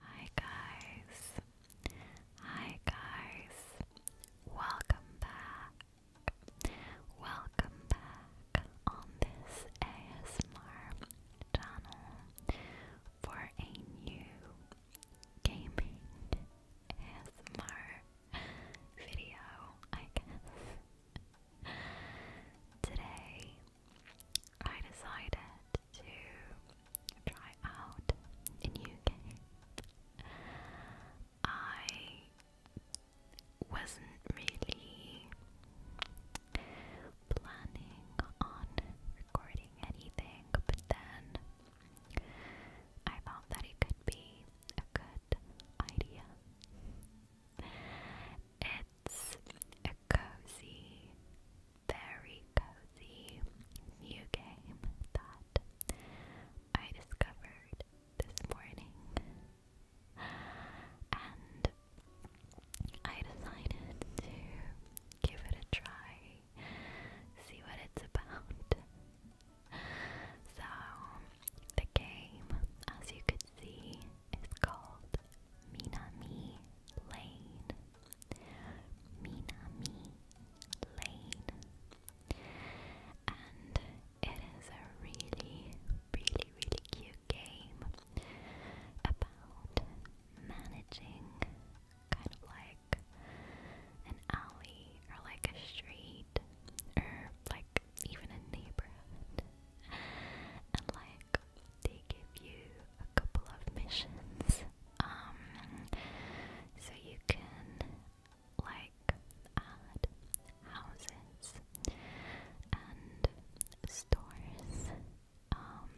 Hi guys. Hi guys. Welcome back. Welcome back on this ASMR channel for a new gaming ASMR video, I guess. Today I decided to try out a new game. I wasn't really planning on recording anything, but then I found that it could be a good idea. It's a cozy very cozy new game that I discovered this morning. And I decided to give it a try, see what it's about. So, the game, as you could see, is called Minami Lane. Minami Lane. And it is a really, really, really cute game about managing kind of like an alley or like a street or like even a neighborhood and like like they give you a couple of missions. Um, so you can like add houses and stores um,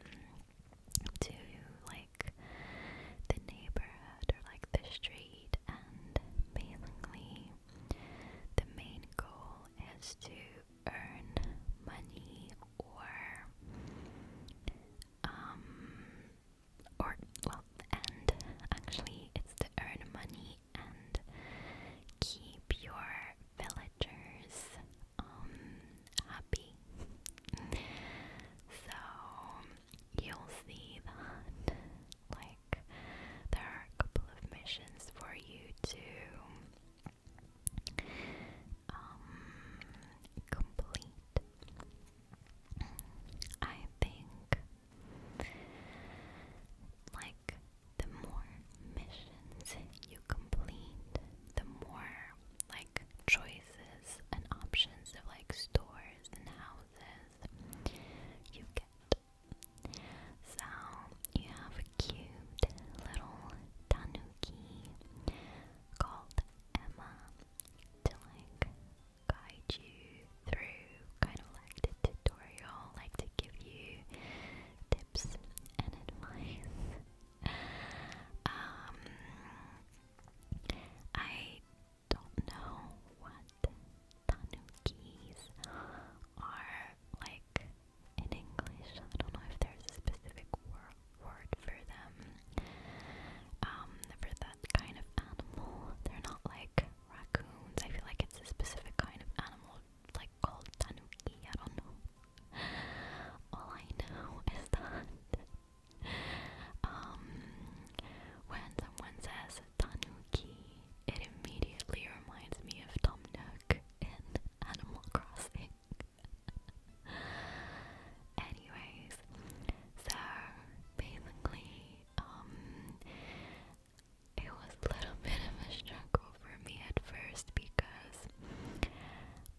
to like the neighborhood or like the street and basically the main goal is to earn money or um or well and actually it's to earn money and keep your villagers um happy so you'll see that like there are a couple of missions for you to um, complete. I think, like, the more missions you complete, the more, like, choices and options of, like, stores and houses you get. So, you have cute little tanuki called Emma to like guide you through kind of like the tutorial, like to give you tips and advice. um, I don't know what tanukis are like in English. I don't know if there's a specific word word for them. Um, for that kind of animal. They're not like raccoons. I feel like it's a specific kind of animal, like called tanuki. I don't know. All I know is that um, when someone says tanuki, it immediately reminds me of Tom Nook in Animal Crossing. Anyways, so basically, um, it was a little bit of a struggle for me at first because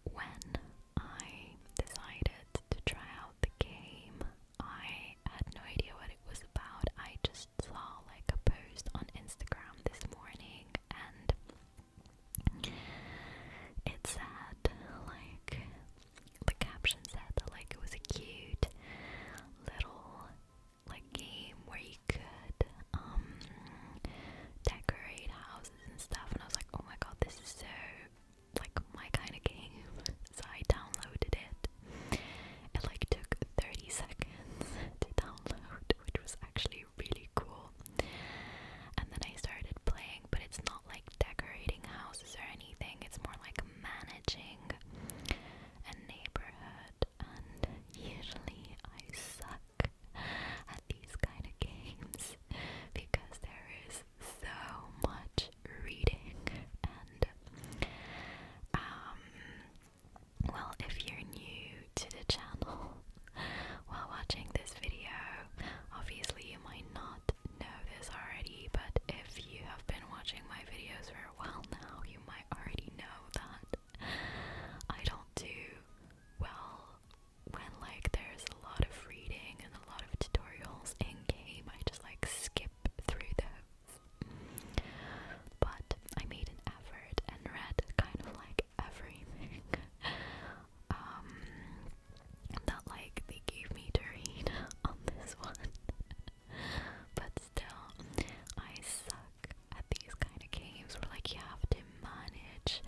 when I decided to try out the game, I had no idea what it was about. I just saw like a post on Instagram this morning and it said like the caption said like it was a cute little like game where you could um, decorate houses and stuff and I was like oh my god this is so like my kind of game so I downloaded it. It like took 30 seconds to download which was actually really, cool. And then I started playing, but it's not like decorating houses or anything, it's more like managing a neighborhood. And usually I suck at these kind of games because there is so much reading and um, well if you're new to the channel while watching this video. Obviously, you might not know this already, but if you have been watching my videos for a while now, you might already know that I don't do well when like there's a lot of reading and a lot of tutorials in game. I just like skip through those. But I made an effort and read kind of like everything. um that like they gave me Doreen on this one. but still, I suck at these kind of games where like you have to manage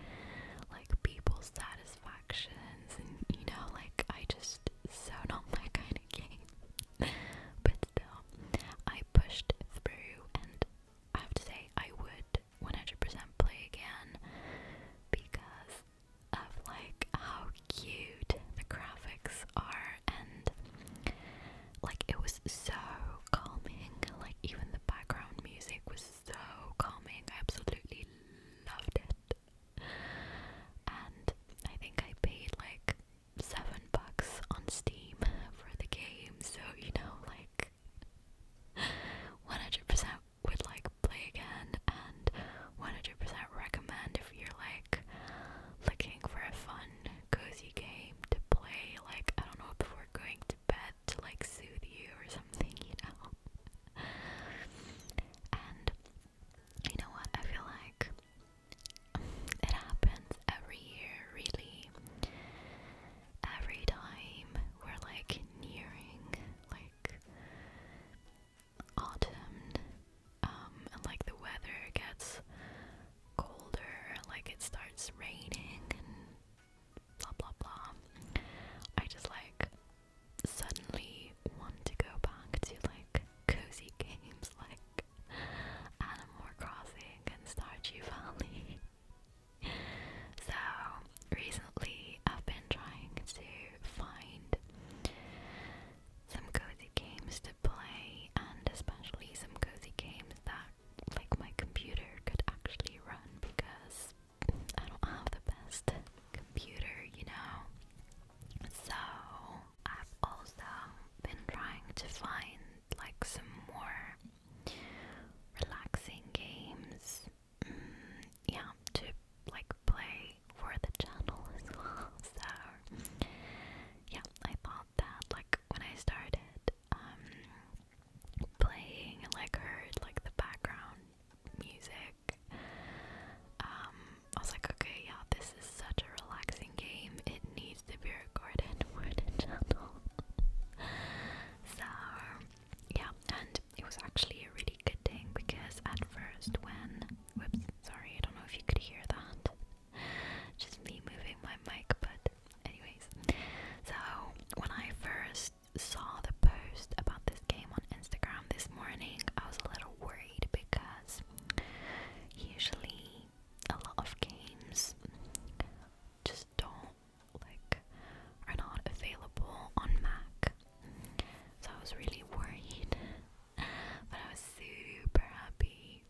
like people's satisfactions and you know like I just so not my kind of game. but still, I pushed through and I have to say I would 100% play again because of like how cute the graphics are and like it was so calming like even the background music was so calming I absolutely loved it and I think I paid like 7 bucks on Steam for the game so you know like 100% would like play again and 100% recommend if you're like looking for a fun, cozy game to play, like I don't know, before going to bed to like soothe you or something, you know. and you know what? I feel like it happens every year, really every time we're like nearing like autumn, um, and like the weather gets colder, like it starts raining blah blah blah. I just like suddenly want to go back to like cozy games like Animal Crossing and Stardew Valley. so recently I've been trying to find some cozy games to play and especially some cozy games that like my computer could actually run because I don't have the best computer, you know. So I've also been trying to find like some more relaxing games Mm, yeah, to like play for the channel as well. So yeah, I thought that like when I started um, playing like heard like the background music, um, I was like, okay, yeah, this is such a relaxing game. It needs to be recorded for the channel. so yeah, and it was actually a really good thing because at first when whoops, sorry, I don't know if you could hear that. Just me moving my mic, but anyways. So when I first saw the post about this game on Instagram this morning, I was a little worried because usually a lot of games just don't like are not available on Mac. So I was really worried, but I was super happy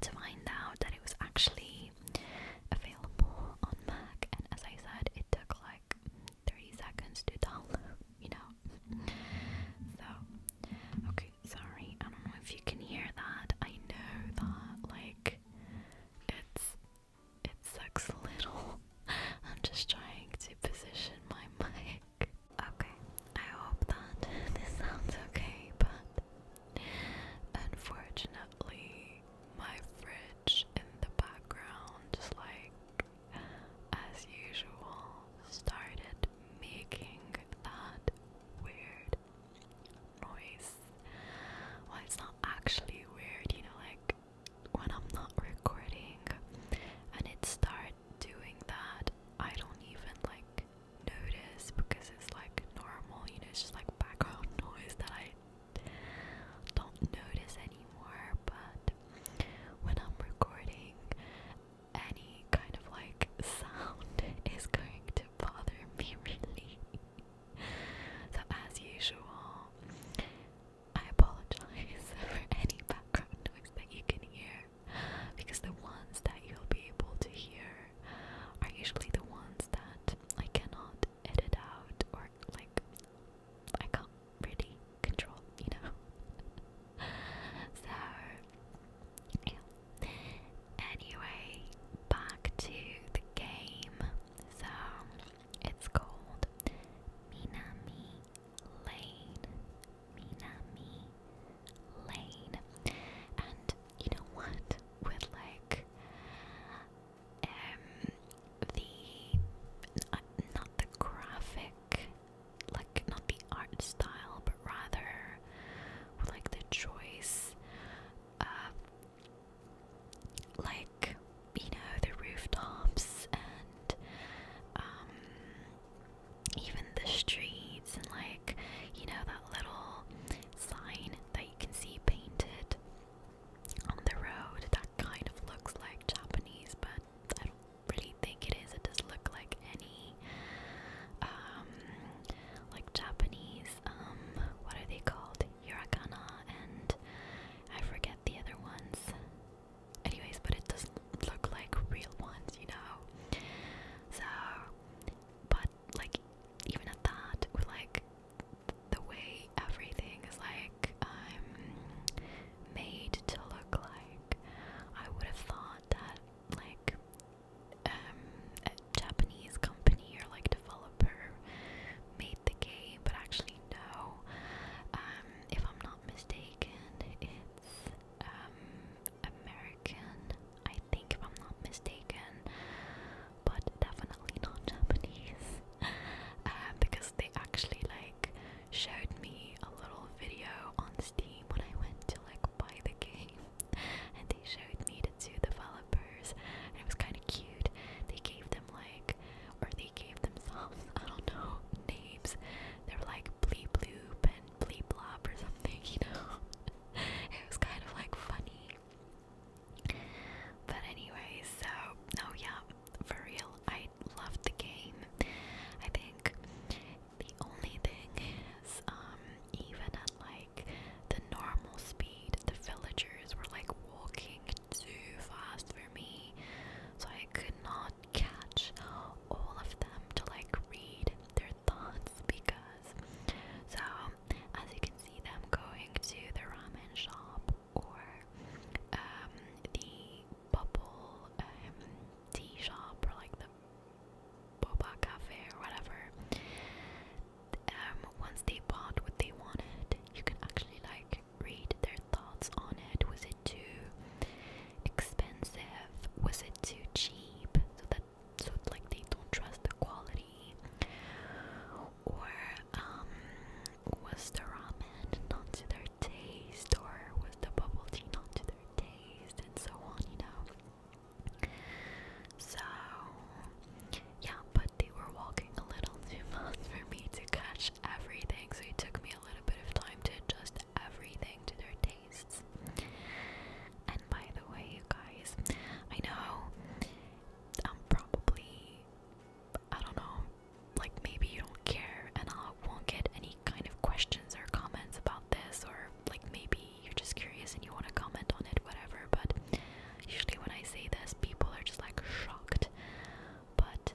to find out that it was actually available on Mac. And as I said, it took like 30 seconds to download, you know. So, okay, sorry, I don't know if you can hear that. I know that, like, it's it sucks a little. I'm just trying to position my mic. Okay, I hope that this sounds okay, but unfortunately, my fridge in the background, just like as usual, started making that weird noise. Well, it's not actually weird, you know, like when I'm not recording and it start doing that, I don't even like notice because it's like normal, you know, it's just like background noise that I don't notice anymore. But when I'm recording, any kind of like sound is going to bother me really. So, as usual, I apologize for any background noise that you can hear because the ones that you'll be able to hear are usually the ones that I cannot edit out or like I can't really control, you know. so Anyway, back to the game. So it's called Minami Lane. Minami Lane. And you know what? With like um the not the graphic like not the art style but rather with like the choice like you know the rooftops and um, even the streets and like you know that little sign that you can see painted on the road that kind of looks like Japanese, but I don't really think it is. It does look like any um, like Japanese um, what are they called? Hiragana, and I forget the other ones. Anyways, but it doesn't look like real ones, you know? So, but like, even at that, with like the way everything is like um, made to look like, I would have thought that like um, a Japanese company or like developer made the game, but actually no. Um, if I'm not mistaken, it's um, American, I think, if I'm not mistaken, but definitely not Japanese, uh, because they actually like showed me a little video on Steam when I went to like buy the game, and they showed me the two developers slippers, and it was kind of cute. They gave them like, or they gave themselves, I don't know, names. They're like Blee Bloop and Blee Blop or something, you know. it was kind of like funny. But anyway, so oh yeah, for real, I loved the game. I think the only thing is, um, even at like the normal speed the villagers were like walking too fast for me, so I could not catch all of them to like read their thoughts because. So, as you can see, them going to the ramen shop or um, the bubble um, tea shop or like the boba cafe or whatever. Um, once they bought what they wanted, you can actually like read their thoughts on it. Was it too expensive? Was it too cheap? So that so like they don't trust the quality. Or um, was the ramen not to their taste? Or was the bubble tea not to their taste? And so on, you know. So yeah, but they were walking a little too much for me to catch everything, so it took me a little bit of time to adjust everything to their tastes. And by the way, you guys, I know I'm probably, I don't know, like maybe you don't care and I won't get any kind of questions or comments about this, or like maybe you're just curious and you want to comment on it, whatever. But usually when I say this, people are just like shocked but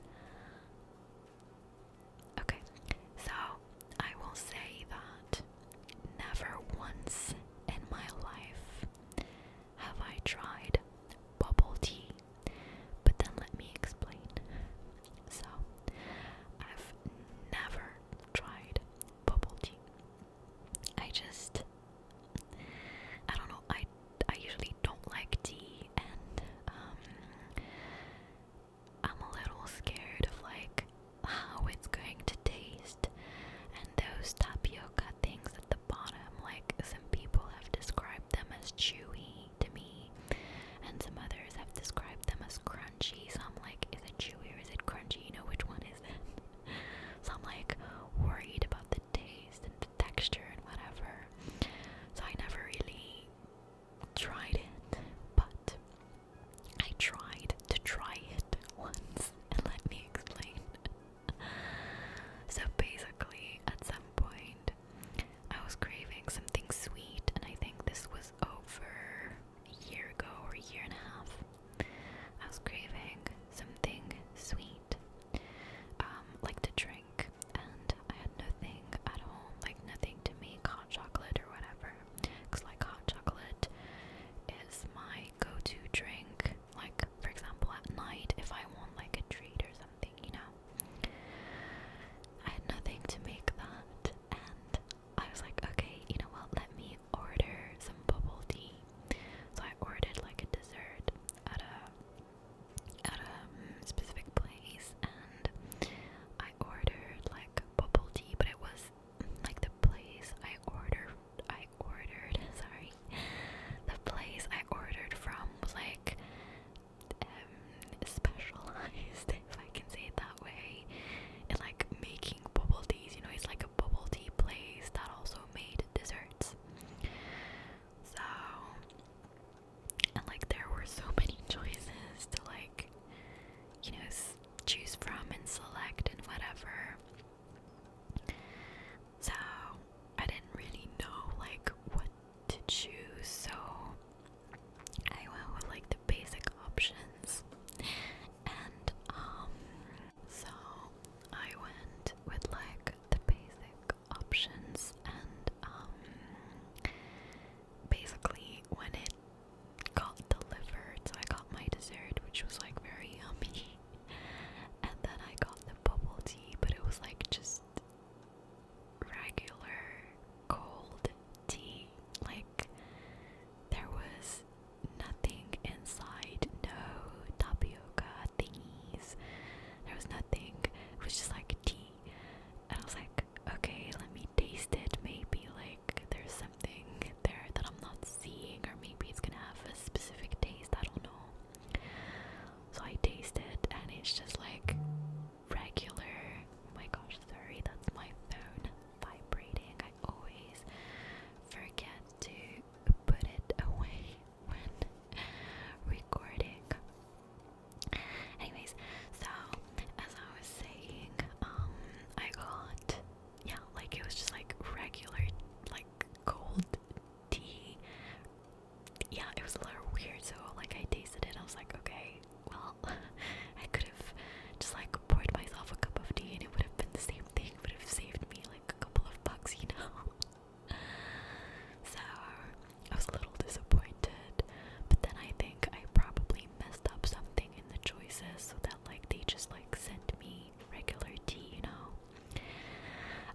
okay, so I will say that never once in my life have I tried bubble tea. But then let me explain. So, I've never tried bubble tea. I just I don't know. I I usually don't like tea, and um, I'm a little scared of like how it's going to taste. And those tapioca things at the bottom, like some people have described them as chewy to me, and some others have described them as crunchy. So I'm like, is it chewy or is it crunchy? You know, which one is it? so I'm like worried about the taste and texture and whatever. So I never really tried it, but I tried to try it once, and let me explain. so basically, at some point, I was craving something sweet, and I think this was over a year ago or a year and a half. I was craving something sweet eat, um, like to drink, and I had nothing at home, like nothing to make hot chocolate or whatever. Cause like hot chocolate is my go-to drink. Like for example, at night if I want like a treat or something, you know. I had nothing to make that, and I was like, okay, you know what? Let me order some bubble tea. So I ordered like a dessert at a at a mm, specific place and I ordered like bubble tea but it was mm, like the place I ordered I ordered sorry the place I ordered from was like um, specialized if I can say it that way in like making bubble teas you know it's like a bubble tea place that also made desserts so, and like there were so many choices to like, you know, choose from and select and whatever. So, I didn't really know like what to choose, so I went with like the basic options. And um so I went with like the basic options and um basically when it got delivered I got my dessert which was like very yummy and then I got the bubble tea but it was like just regular cold tea like there was nothing inside no thingies. There was nothing. It was just like tea. And I was like, okay, let me taste it. Maybe like there's something there that I'm not seeing, or maybe it's gonna have a specific taste. I don't know. So I taste it, and it's just like regular. Oh my gosh, sorry, that's my phone vibrating. I always forget to put it away recording. Anyways, so as I was saying, um, I got yeah, like it was just like regular, like cold tea. Yeah, it was a little weird. So like I tasted it, I was like, okay, well, I could have just like poured myself a cup of tea, and it would have been the same thing. Would have saved me like a couple of bucks, you know. so I was a little disappointed, but then I think I probably messed up something in the choices so that like they just like sent me regular tea, you know.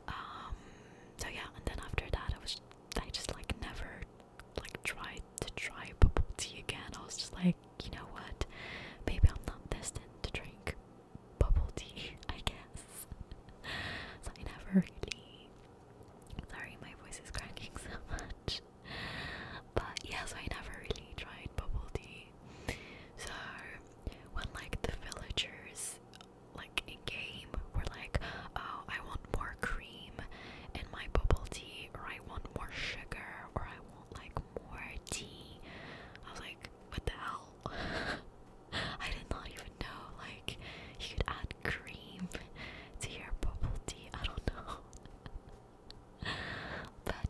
Um so yeah, and then after that I was I just like never like tried to try bubble tea again. I was just like, you know what? Maybe I'm not destined to drink bubble tea, I guess. I never really. Sorry, my voice is cracking so much. But yeah, so I never really tried bubble tea. So when like the villagers, like in game, were like, "Oh, I want more cream in my bubble tea," or "I want more sugar," or "I want like more tea," I was like, "What the hell?" I did not even know, like, you could add cream to your bubble tea. I don't know. but,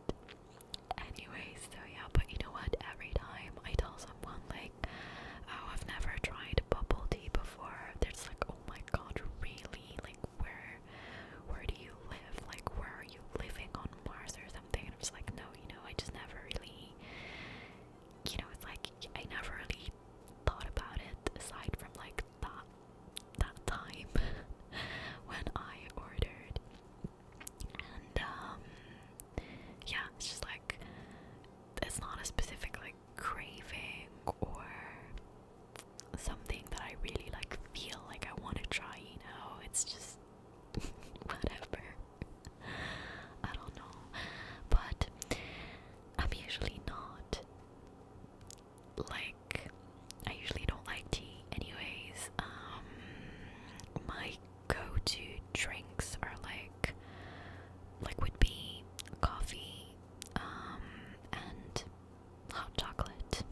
anyways, so yeah, but you know what? Every time I tell someone, like, oh, I've never tried bubble tea before, there's like, oh my god, really? Like, where, where do you live? Like, where are you living on Mars or something? And I'm just like, no, you know, I just never really you know, it's like I never really thought about it aside from like that that time when I ordered. And um yeah, it's just like it's not a specific like craving or something that I really like feel like I want to try, you know. It's just whatever. I don't know. But I'm usually not like I usually don't like tea anyways. Um, my go-to drinks are like like would coffee um, and hot chocolate.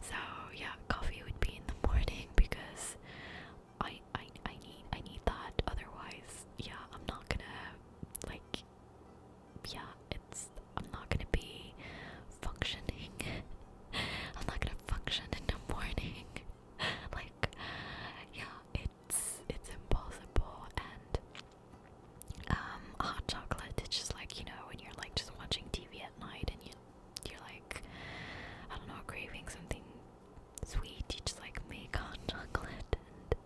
So yeah, coffee would be in the morning because I I I need I need that. Otherwise, yeah, I'm not gonna like yeah, it's I'm not gonna be functioning. I'm not gonna function in the morning. like yeah, it's it's impossible and um hot chocolate it's just like you know when you're like just watching TV at night and you you're like I don't know craving something sweet. You just like make on chocolate, and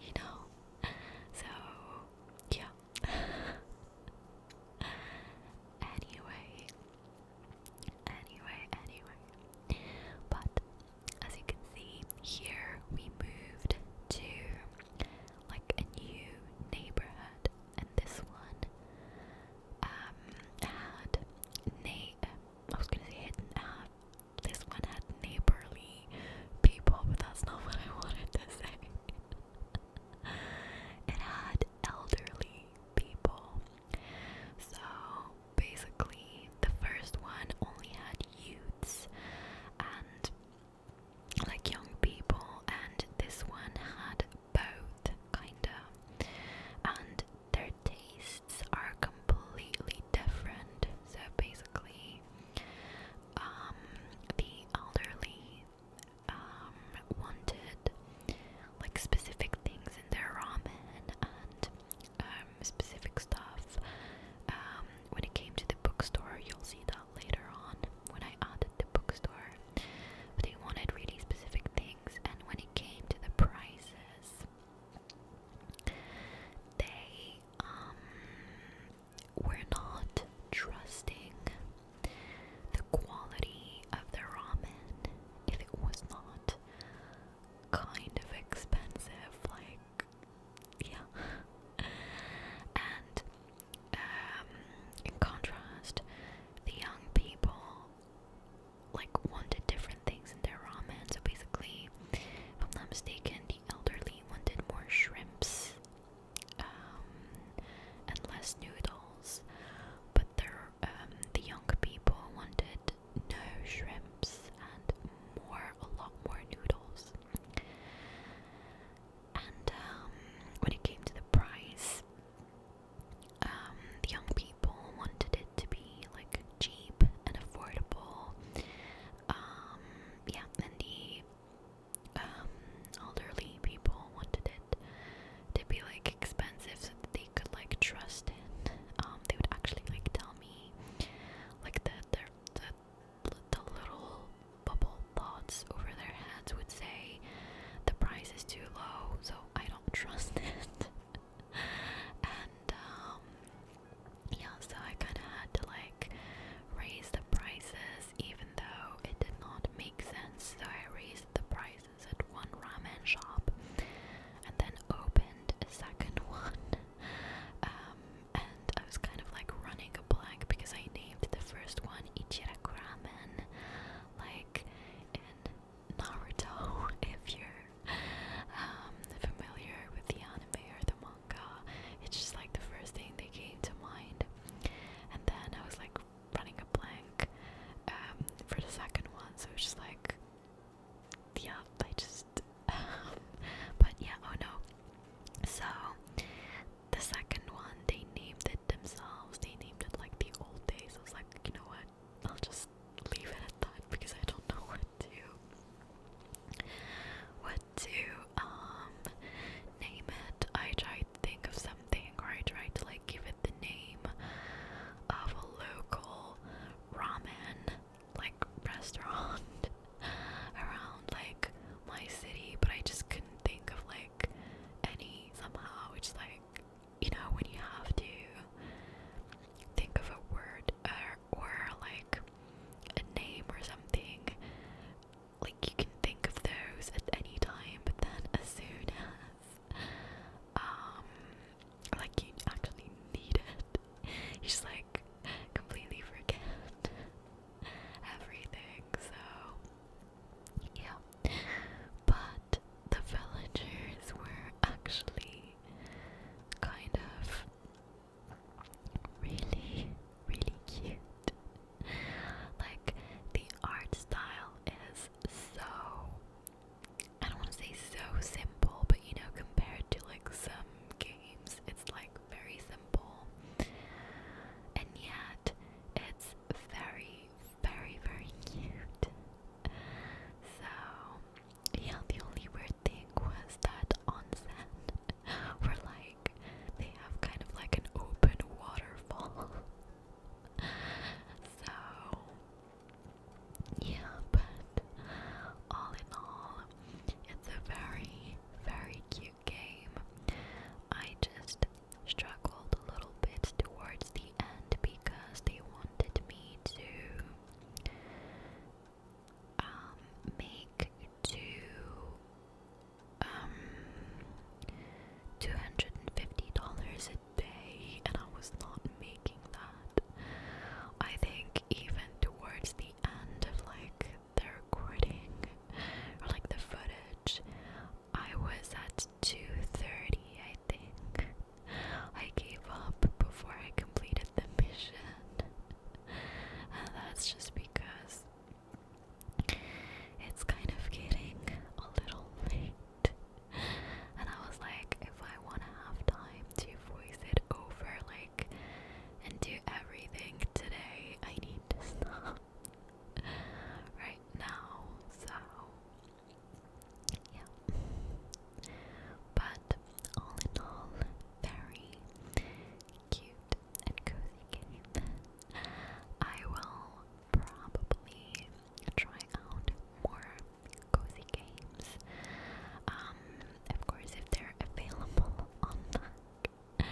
you know. So yeah. anyway, anyway, anyway. But as you can see here, we moved to like a new neighborhood, and this one um, had na I was gonna say hidden at. This one had neighborly people, but that's not what I wanted to say. it had elderly people. So basically, the first one only had youths and like young people, and this one had both, kinda. And their tastes are completely different. So basically, um, the elderly um, wanted like specific things in their ramen and um, specific stuff. Um, when it came to the bookstore, you'll see that later on when I added the bookstore. they wanted really specific things, and when it came to the prices, they um, were not trusting the quality of the ramen if it was not kind of expensive, like yeah. And um, in contrast, the young people like wanted different things in their ramen. So basically, if I'm not mistaken, the elderly wanted more shrimps um, and less noodles, but their, um, the young people wanted no shrimps and more, a lot more noodles. And um, when it came to the price, um, the young people wanted it to be like cheap and affordable. Um, yeah, and the um, elderly people wanted it to be like expensive so that they could like trust it. they would actually like tell me like the the the little bubble thoughts over their heads would say the price is too low, so I don't trust it. and um, yeah so I kinda had to like raise the prices even though it did not make sense so I raised the prices at one ramen shop and then opened a second one um, and I was kind of like running a blank because I named the first one Ichiraku Ramen like Naruto if you um, familiar with the anime or the manga. It's just like the first thing that came to mind. And then I was like running a blank um, for the second one, so it's just like, yeah, I just. but yeah, oh no. So the second one, they named it themselves. They named it like the old days. I was like, you know what? I'll just leave it at that because I don't know what to what to um name it. I tried to think of something or I tried to like give it the name of a local ramen like restaurant around like my city but I just couldn't think of like any somehow which like you know, when you have to think of a word or, like a name or something, like you can think of those at any time, but then as soon as, um, like you actually need it, you just like completely forget everything. So, yeah, but the villagers were actually kind of really, really cute. Like, the art style is so, I don't want to say so simple, but you know, compared to like some games, it's like very simple. And yet, it's very, very, very cute. So, yeah, the only weird thing was that on we were like they have kind of like an open waterfall. so yeah, but all in all, it's a very, very cute game. I just struggled a little bit towards the end because they want wanted me to um, make two um, two hundred and fifty dollars a day, and I was not making that. I think even towards the end of like the recording or like the footage, I was at two thirty. I think I gave up before I completed the mission. and that's just because it's kind of getting a little late. And I was like, if I want to have time to voice it over, like, and do everything today, I need to stop right now. So yeah. But all in all, very cute and cozy game. I will probably try out more cozy games. Um, of course, if they're available on Mac.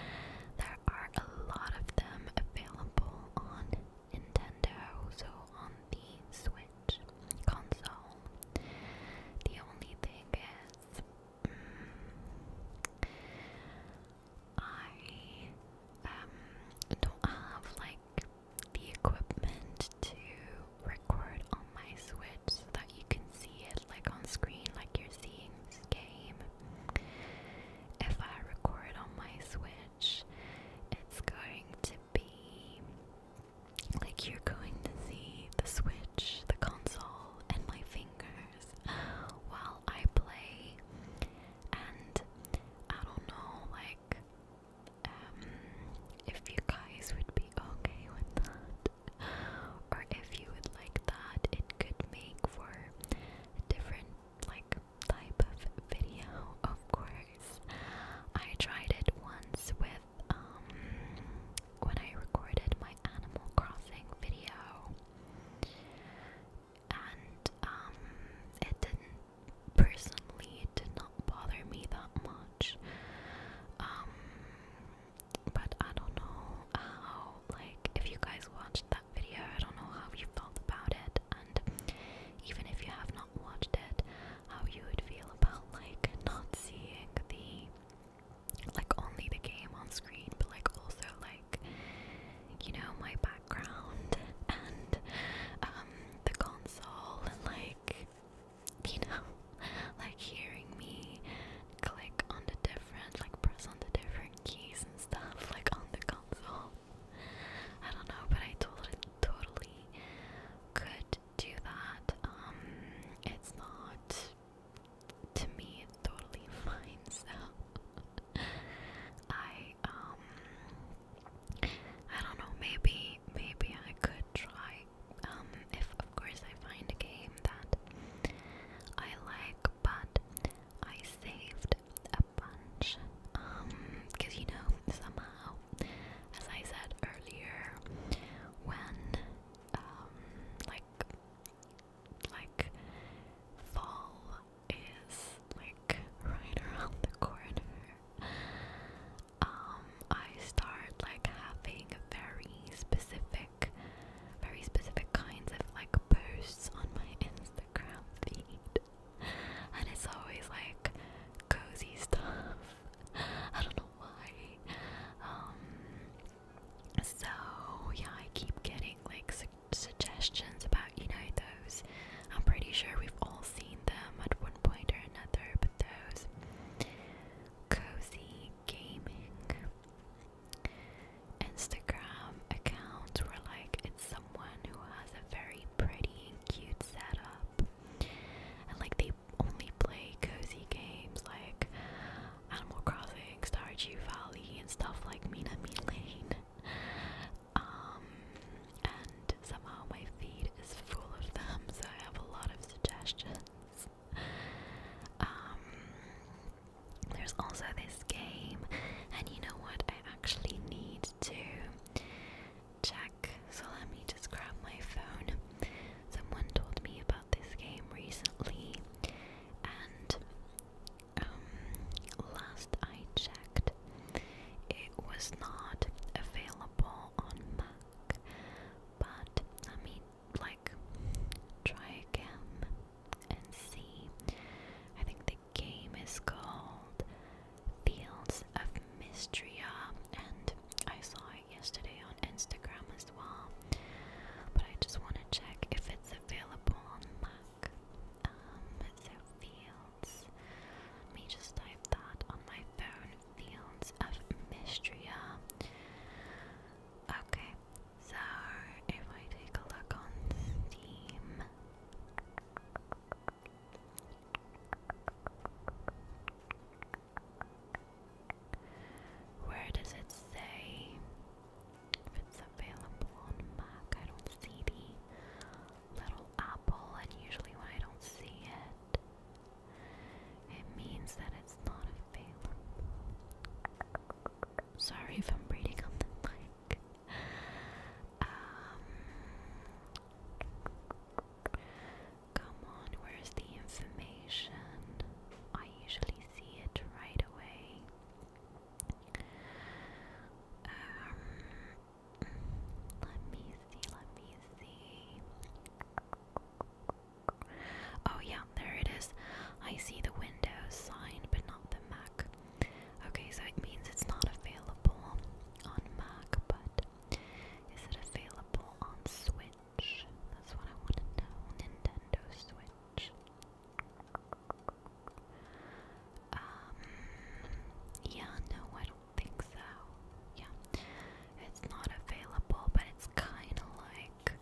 There are a lot of them available on Nintendo, so on the Switch console. The only thing is, mm, I um, don't have like the equipment to record on my Switch so that you can see it like on screen, like you're seeing this game. If I record on my Switch, it's going to be like you're going to see the Switch, the console, and my fingers while I play. And I don't know, like, um, if you guys would be okay with that. Or if you would like that, it could make for a different, like, type of video, of course. I tried it once with um when I recorded my Animal Crossing video and um it didn't personally it did not bother me that much. Um but I don't know how like if you guys watched that video, I don't know how you felt about it and even if you have not watched it, how you would feel about like not seeing the like only the game on screen, but like also like you know my background and um the console and like you know like hearing me click on the different like press on the different keys and stuff like on the console. I don't know, but I totally totally could do that. Um, it's not to me it's totally fine. So I um I don't know. Maybe maybe I could try. Um, if of course I find a game that I like, but I saved a bunch. Um, because you know somehow as I said earlier, when um, like like fall is like right around the corner, um, I start like having very specific, very specific kinds of like posts on my Instagram feed and it's always like cozy stuff. I don't know why. Um, so yeah, I keep getting like suggestions about you know those. I'm pretty sure we've all seen them at one point or another, but those cozy gaming Instagram accounts where like it's someone who has a very pretty and cute setup and like they only play cozy games like Animal Crossing, Stardew Valley, and stuff like Mina Me um, and somehow my feed is full of them, so I have a lot of suggestions. Um, there's also this game, and you know what? I actually need to check. So let me just grab my phone. Someone told me about this game recently, and um, last I checked, it was not available on Mac. But I mean, like try again and see. I think the game is called Fields of Mystria, and I saw it yesterday on Instagram as well. But I just want to check if it's available on Mac. Um, so Fields, let me just type that on my phone. Fields of Mystria. Okay, so if I take a look on Steam. Where does it say if it's available on Mac? I don't see the little apple, and usually when I don't see it, it means that it's not available. Sorry if I'm reading on the mic. Um, come on, where's the information? I usually see it right away. Um, let me see, let me see. Oh, yeah, there it is. I see the Windows sign, but not the Mac. Okay, so it means it's not available on Mac, but is it available on Switch? That's what I want to know. Nintendo Switch. Um, yeah, no, I don't think so. Yeah, it's not available, but it's kind of like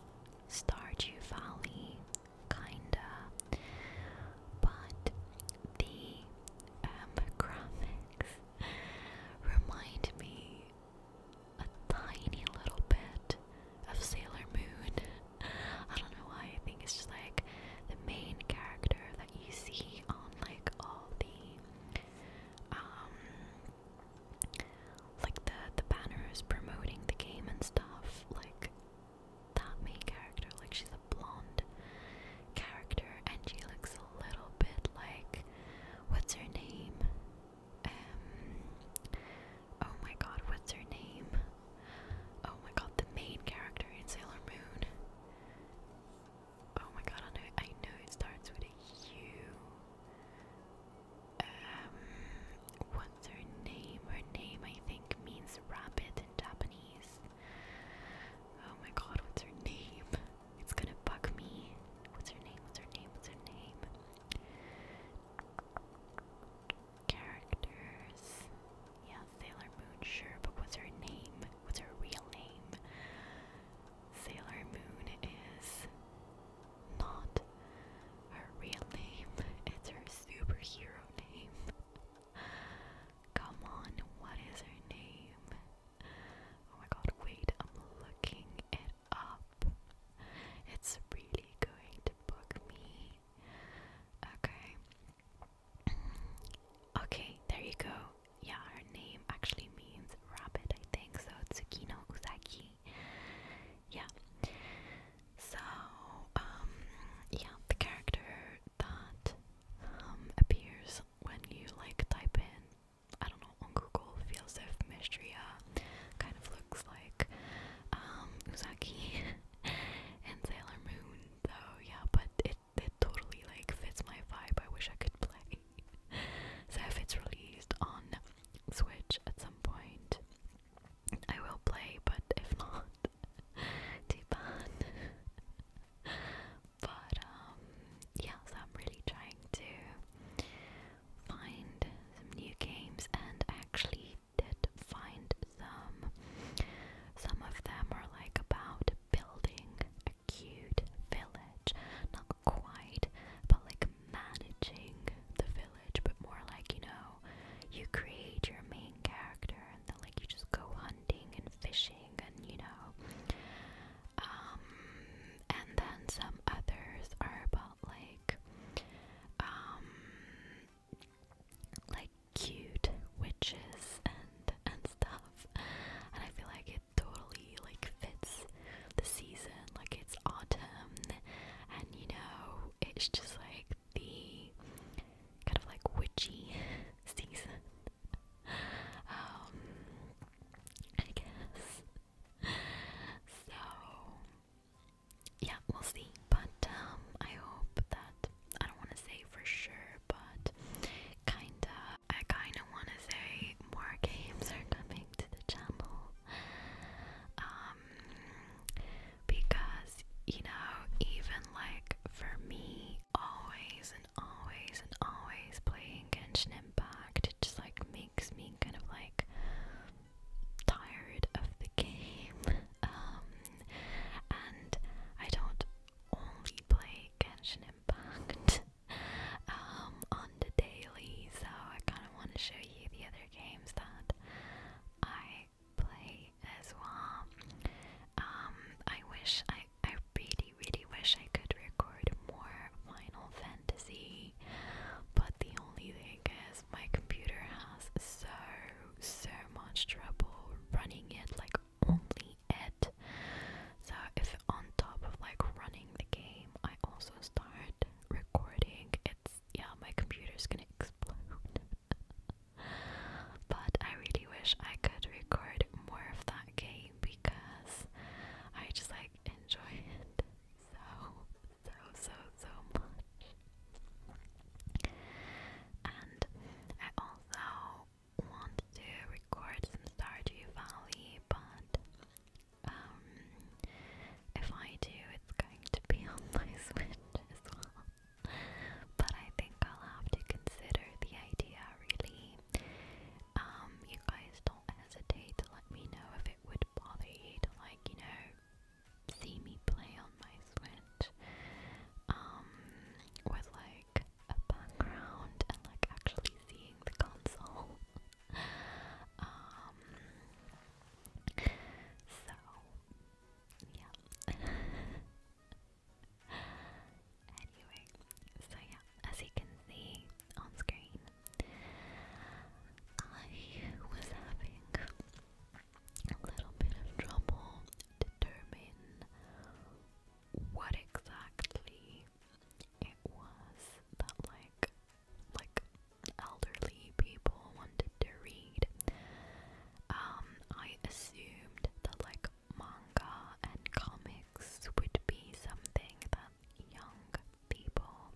Stardew Valley, kinda. But the um, remind me a tiny little bit of Sailor Moon. I don't know why, I think it's just like the main character that you see on like all the um, like the the banners promoting the game and stuff, like that main character, like she's a blonde character, and she looks a little bit like what's her name? Um, oh my god, what's her name? Oh my god, the main character in Sailor Moon. Oh my god, I know, I know it starts with a U. Um, what's her name? Her name, I think, means rabbit in Japanese. Oh my god, what's her name? It's gonna bug me. What's her name? What's her name? What's her name? Characters. Yeah, Sailor Moon, sure, but what's her name? What's her real name? Sailor Moon is not her real name, it's her superhero name. Come on, what is her name? Oh my god, wait, I'm looking it up. It's really going to bug me. Okay. okay, there you go. Yeah, her name actually means rabbit, I think. So, Tsukino Usagi. Yeah. So, um, yeah, the character that um, appears when you like type in, I don't know, on Google, Fieldsif Mistria kind of looks like um, Uzaki and Sailor Moon, though, yeah, but it, it totally like fits my vibe. I wish I could play. so if it's released on Switch at some point, I will play, but if not, too bad. But um, yeah, I'm really trying to find some new games, and actually did find some. Some of them are like about building a cute village, not quite, but like managing the village, but more like you know, you create your main character, and then like you just go hunting and fishing, and you know, um, and then some others are about like, um, like cute witches and and stuff. And I feel like it totally like fits the season. Like it's autumn, and you know it's just like the kind of like witchy season um, I guess. So, yeah, we'll see. But um, I hope that I don't want to say for sure, but kinda, I kinda want to say more games are coming to the channel. Um, because you know, even like for me, always and always and always playing Genshin Impact. It just like makes me kind of like tired of the game. Um, and I don't only play Genshin Impact um, on the daily, so I kind of want to show you the other games that I play as well. Um, I wish I I really, really wish I could record more Final Fantasy, but the only thing is my computer has so, so much trouble running it, like only it. So if on top of like running the game, I also start recording, it's yeah, my computer's gonna explode. but I really wish I could record more of that game because I just like enjoy it so, so, so, so much. And I also want to record some Stardew Valley, but um, if I do, it's going to be on my Switch as well. But I think I'll have to consider the idea really um, you guys don't hesitate to let me know if it would bother you to like, you know, see me play on my Switch. Um, with like a background and like actually seeing the console. um so yeah. anyway, so yeah, as you can see on screen, I was having a little bit of trouble determine what exactly it was that like like elderly people wanted to read. Um, I assumed that like manga and comics would be something that young people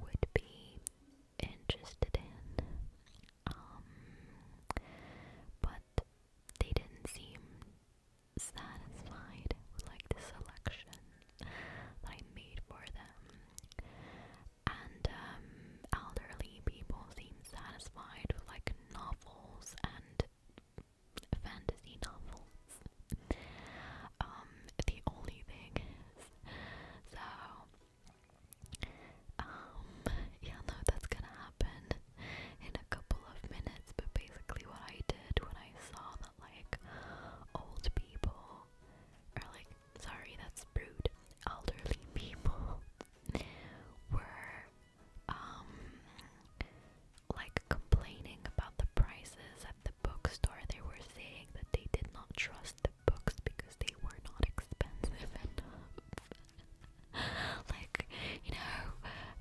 would be interested in. Um, but they didn't seem satisfied with like the selection that I made for them. And um, elderly people seemed satisfied with like novels and fantasy novels. Um, the only thing is, so, um, yeah, no, that's gonna happen in a couple of minutes, but basically what I did when I saw that, like, old people, are like, sorry, that's rude, elderly people were um, like complaining about the prices at the bookstore. They were saying that they did not trust the books because they were not expensive enough. like, you know,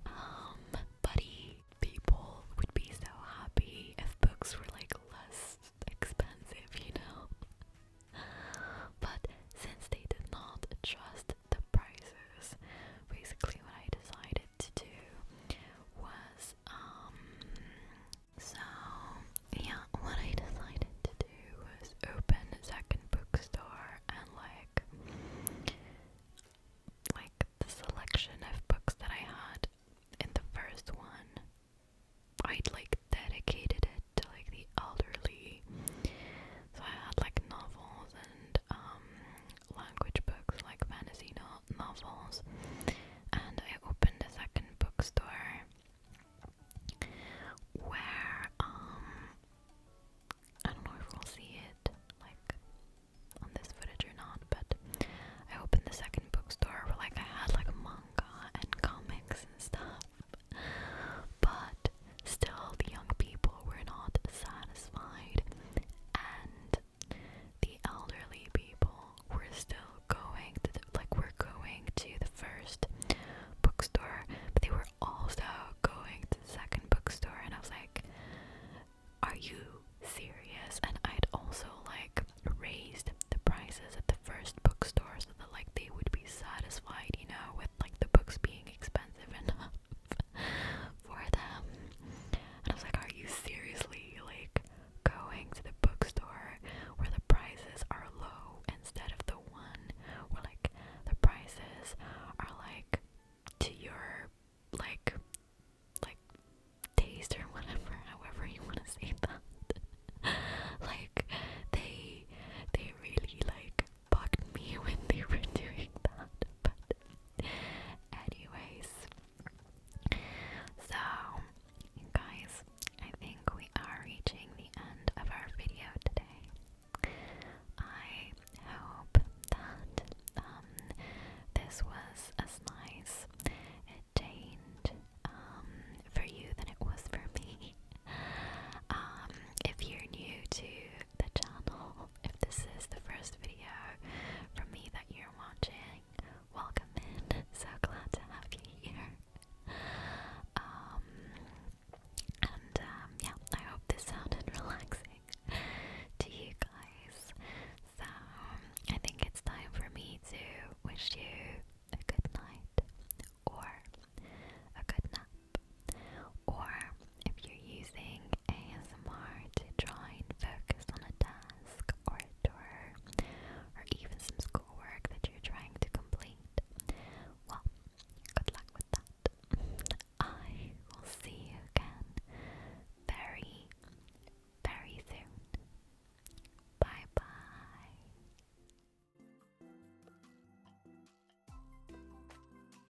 um, buddy people would be so happy if books were like less expensive, you know. but since they did not trust the prices. Basically, what I decided to do was, um, so yeah, what I decided to do was open a second bookstore and like, like the selection of books that I had in the first one, I'd like dedicated it to like the elderly. So I had like novels and um language books like fantasy novels, and I opened a second bookstore where um I don't know if we'll see it like on this footage or not, but I opened the second bookstore where like I had like manga and comics and stuff. But Still, the young people were not satisfied, and the elderly people were still going to the, like were going to the first bookstore, but they were also going to the second bookstore, and I was like, "Are you serious?" And I'd also like raised the prices at the first bookstore so that like they would be satisfied, you know, with like the books being expensive enough for them. And I was like, are you seriously like going to the bookstore where the prices are low instead of the one where like the prices are like to your like like taste or whatever, however you want to say that. like they they really like bugged me when they were doing that. anyways, so guys, I think we are reaching the end of our video today. I hope that um, this was as nice attained um, for you than it was for me. Um, if you're new to the channel. If this is the first video from me that you're watching, welcome in. So glad to have you here. Um, and um, yeah, I hope this sounded relaxing to you guys. So I think it's time for me to wish you a good night or a good night. Or if you're using ASMR to try and focus on a task or a door, or even some schoolwork that you're trying to complete, well, good luck with that. I will see you again very, very soon. Bye bye.